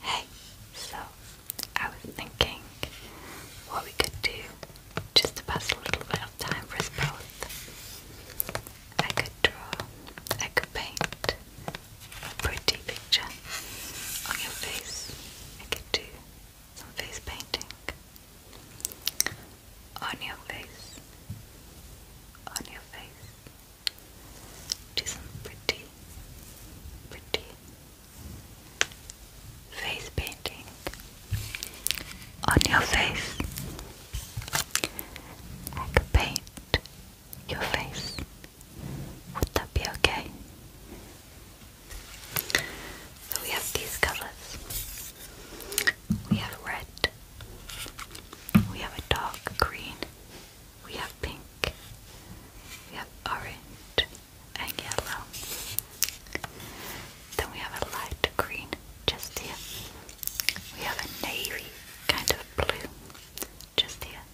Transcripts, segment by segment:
Hey, so I was thinking what we could do just to pass a little bit of time for us both. I could draw, I could paint a pretty picture on your face. I could do some face painting on your face, on your face. Do some pretty, pretty face painting on your face. I could paint your face. Would that be okay? So we have these colors. We have red, we have a dark green, we have pink, we have orange and yellow. Then we have a light green just here. We have a navy kind of blue just here.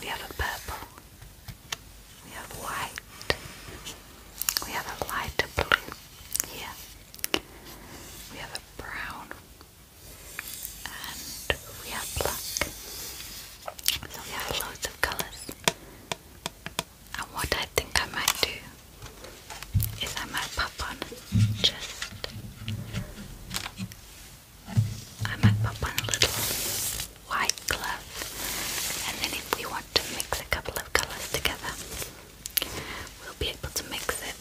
We have a purple. We have white. We have a lighter blue here. We have brown and we have black. So we have loads of colours. And what I think I might do is I might pop on just I might pop on a little white glove and then if we want to mix a couple of colours together we'll be able to mix it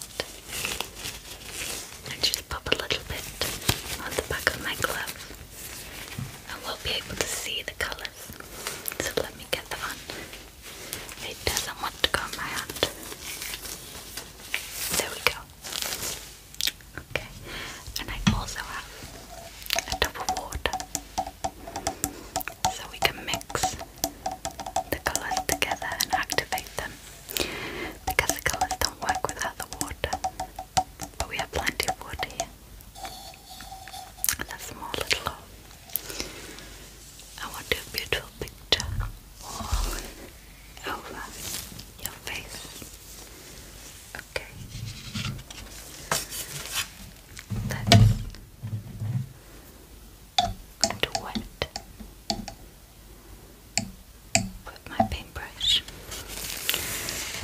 and just pop a little bit on the back of my glove and we'll be able to see the colours. So let me get that on. It doesn't want to go on my hand. There we go. Okay. And I also have a tub of water. So we can mix the colours together and activate them because the colours don't work without the water. But we have plenty of water here. That's a small little hole. I want a beautiful picture over your face. Okay. Let's going wet with my paintbrush.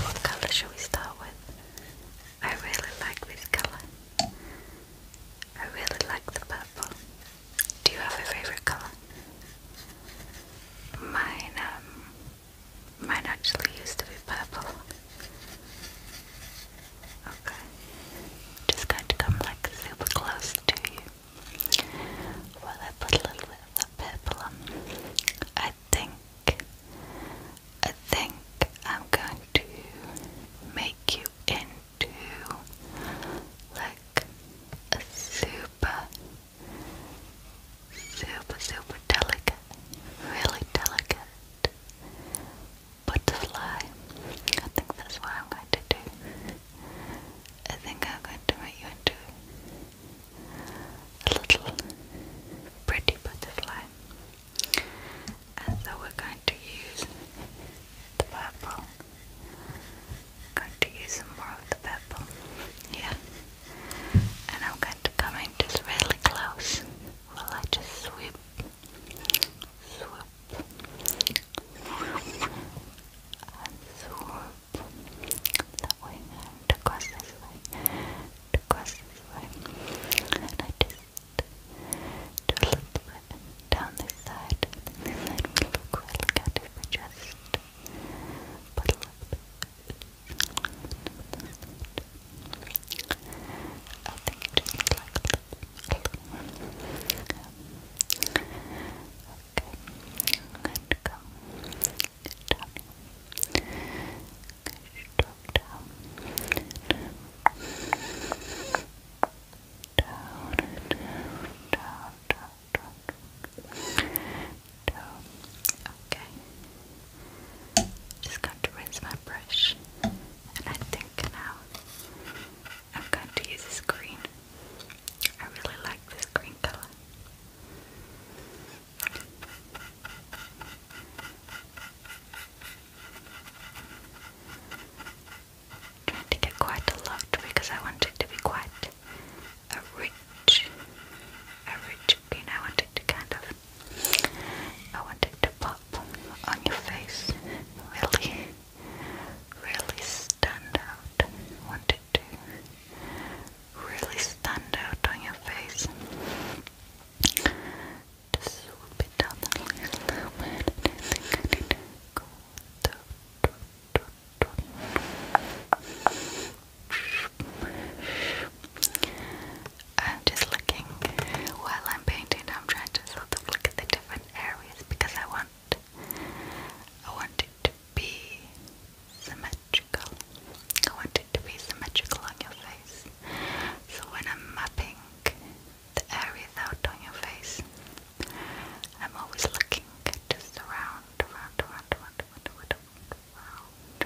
What color should we start with? I really like this color. I really like the purple. Do you have a favorite color? Mine, um, mine actually used to be purple. Okay. Just going to come like super close to you. Well, I put a little bit of that purple on. I think, I think I'm going to make you into like a super, super, super delicate, really delicate butterfly. I think that's what I'm going to do. I think I'm going to make you into a little pretty butterfly. And so we're going to use the purple. going to use more of the purple. Yeah. And I'm going to come in really close. Will I just sweep swoop, swoop, and swoop. That way across this way, across this way. And I just do a little bit down this side. And this side will look really good if we just put a little bit. I think it just looks like Okay. Good. Come. Good job. Good Down. Down. Down. Down. Down. Down. Down. Okay. Just got to rinse my brush and I think now I'm going to use this green. I really like this green color. trying to get quite a lot because I want it to be quite a rich, a rich green. I want to kind of, I want to pop on your face really, really stand out. What did Really stand out on your face. Just a little bit. I'm just looking while I'm painting. I'm trying to sort of look at the different areas because I want I want it to be symmetrical. I want it to be symmetrical on your face. So when I'm mapping the areas out on your face, I'm always looking just around, around, around, around, around, around.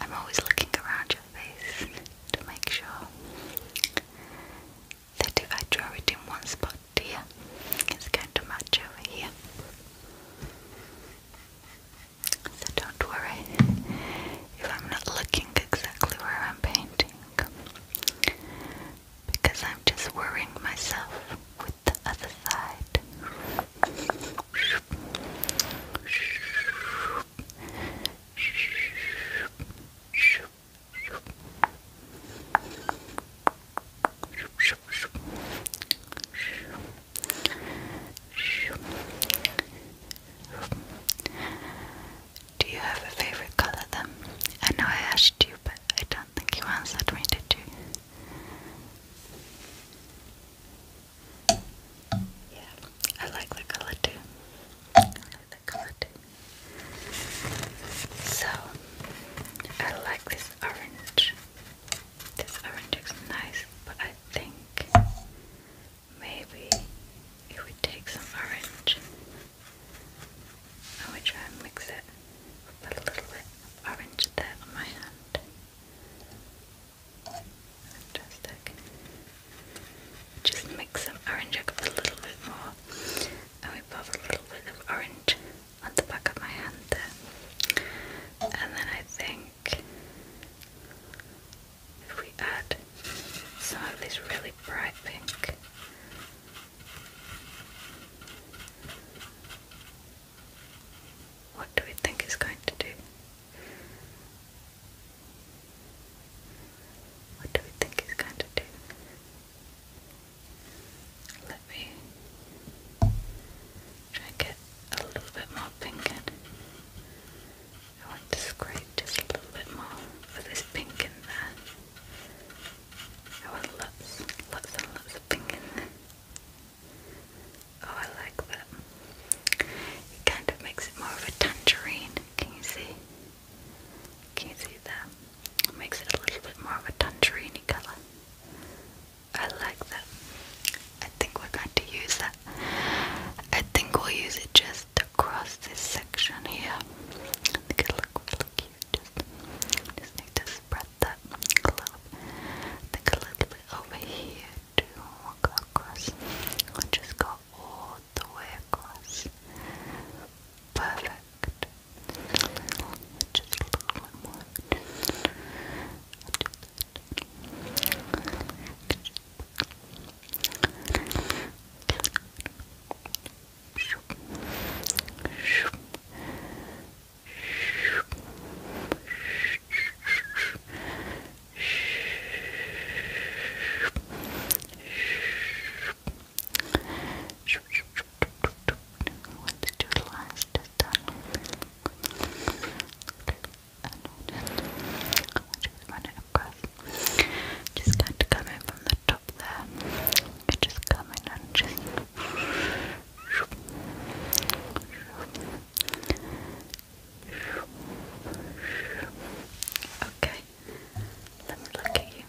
I'm always looking around to make sure that if I draw it in one spot here, it's going to match over here. So don't worry if I'm not looking exactly where I'm painting, because I'm just worrying myself with the other side. Do you have a favorite color then? I know I asked you, but I don't think you answered me, did you? Yeah, I like the color too. I like the color too. So, I like this orange. This orange is nice, but I think maybe if we take some orange and we try and mix it, put a little bit of orange there on my hand. Just mix some orange up a little bit more. And we put a little bit of orange on the back of my hand there. And then I think if we add some of this really bright pink. What do we think it's going to do? What do we think he's going to do? Let me try and get a little bit more pink in. I want to scrape just a little bit more with this pink in there. I want lots, lots and lots of pink in Oh, I like that. It kind of makes it more of a tangerine. Can you see? Can you see that? It makes it a little bit more of a tangerine colour. I like that. I think we're going to use that. I think we'll use it just across this section here. think it'll look really cute. Just, just need to spread that a little think a little bit over here to across. I'll just go all the workers perfect. Just a little bit more. shoop, shoop, shoop, shoop, shoop, shoop Let's last tunnel. run it across. Just got to come from the top there. You just come and just. Okay, let me look at you.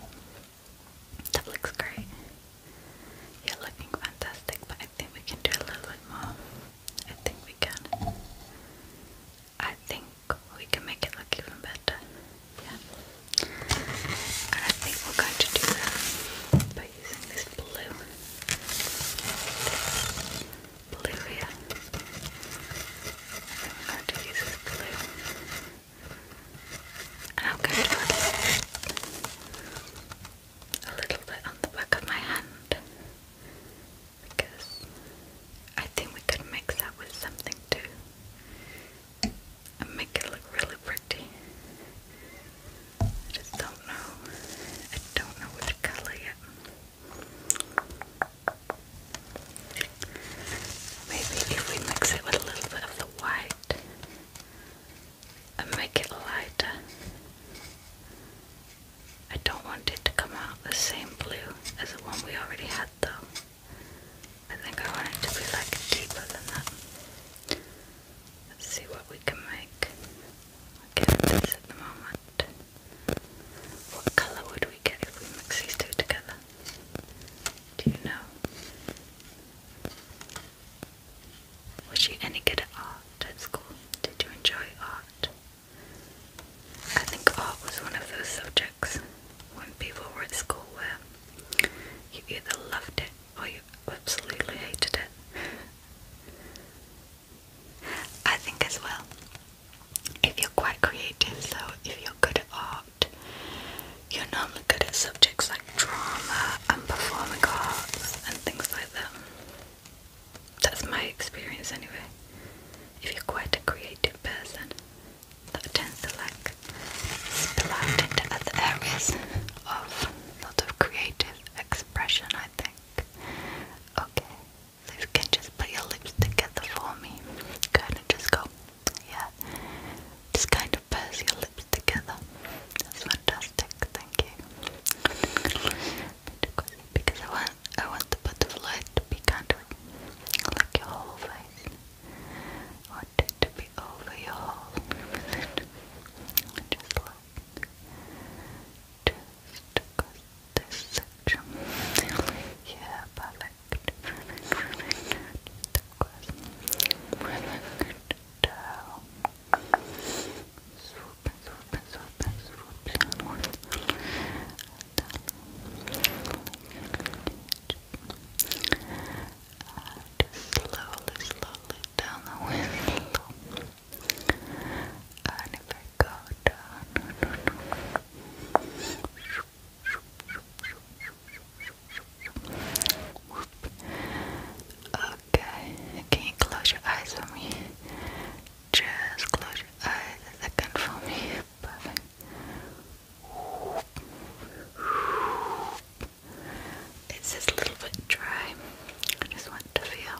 That looks great. You're looking fantastic, but I think we can do a little bit more. I think we can. I think we can make it look even better. Yeah. And I think we're going to do that by using this blue. Bluia. I'm going to use this blue. And I'm going to put a little bit on the back of my hand because I think we could mix that with something too and make it look really pretty. I just don't know. I don't know which colour yet. Maybe if we mix it with a little bit of the white and make it lighter. I don't want it to come out the same blue as the one we already had though. I think I want it to be like deeper than that. Let's see what we can make. Okay, this at the moment. What colour would we get if we mix these two together? Do you know? Was she any good at art at school? Did you enjoy art? I think art was one of those subjects when people were at school where you either loved it or you absolutely hated it. I think as well, if you're quite creative, so if you're good at art, you're normally good at subjects like drama and performing arts and things like that. That's my experience anyway. If you're quite a creative person, that tends to like spill out into other areas of sort of creative expression, I think. Okay, you can just put your lips together for me. Kind of just go, yeah. Just kind of purse your lips together. That's fantastic. Thank you. Because I want, I want the butterfly to be kind of like your whole face. I want it to be over your whole. Just like just across this section. Yeah, perfect. Perfect, perfect. and swoop and swoop and swoop downward. And slowly, slowly down the window. And if I go down, Okay, can you close your eyes for me? Just close your eyes a second for me. Perfect. It's just a little bit dry. I just want to feel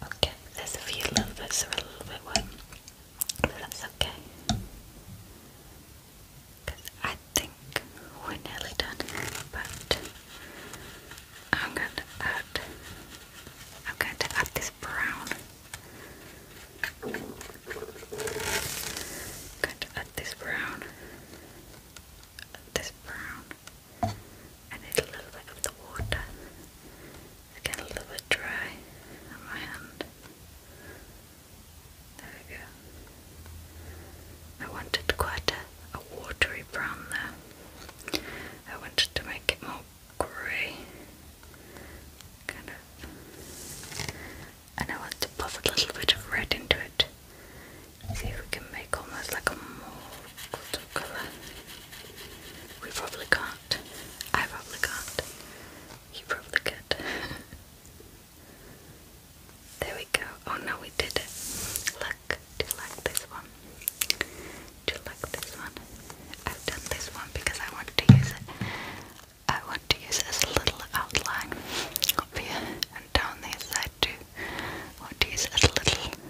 Okay, there's a few little bits that a little bit wet, but that's okay. Because I think we're nearly done, but I'm going to add, I'm going to add this brown. going to add this brown, add this brown. I a little bit of the water it's getting a little bit dry on my hand. There we go. I wanted quite a, watery brown there. I wanted to make it more grey. Kind of. And I want to pop a little bit of red into it. See if we can make almost like a mauve colour. We probably can't. I probably can't. You probably could. there we go. Oh no, we did it. Look, do you like this one? Do you like this one? I've done this one because I want to use it. I want to use it little outline up here and down this side too. want to use a little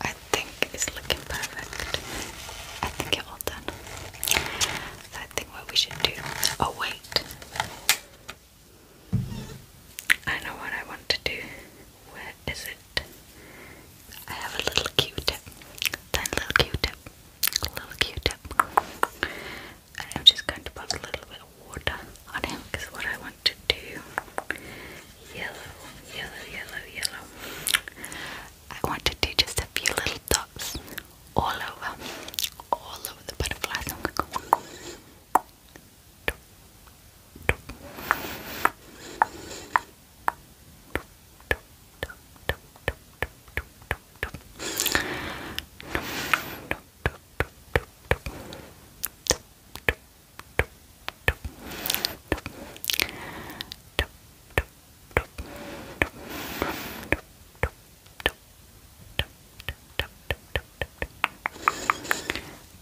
I think it's looking perfect. I think it's all done. I think what we should do. Oh, wait. I know what I want to do. Where is it? I have a little Q-tip. Tiny little Q-tip. Little Q-tip. I'm just going to put a little bit of water on him because what I want to do yellow, yellow, yellow, yellow. I want to do just a few little dots all over, all over the butterflies.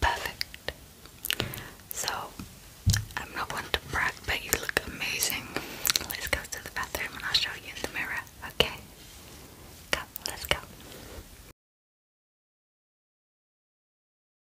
Perfect. So, I'm not one to brag, but you look amazing. Let's go to the bathroom and I'll show you in the mirror, okay? Come, let's go.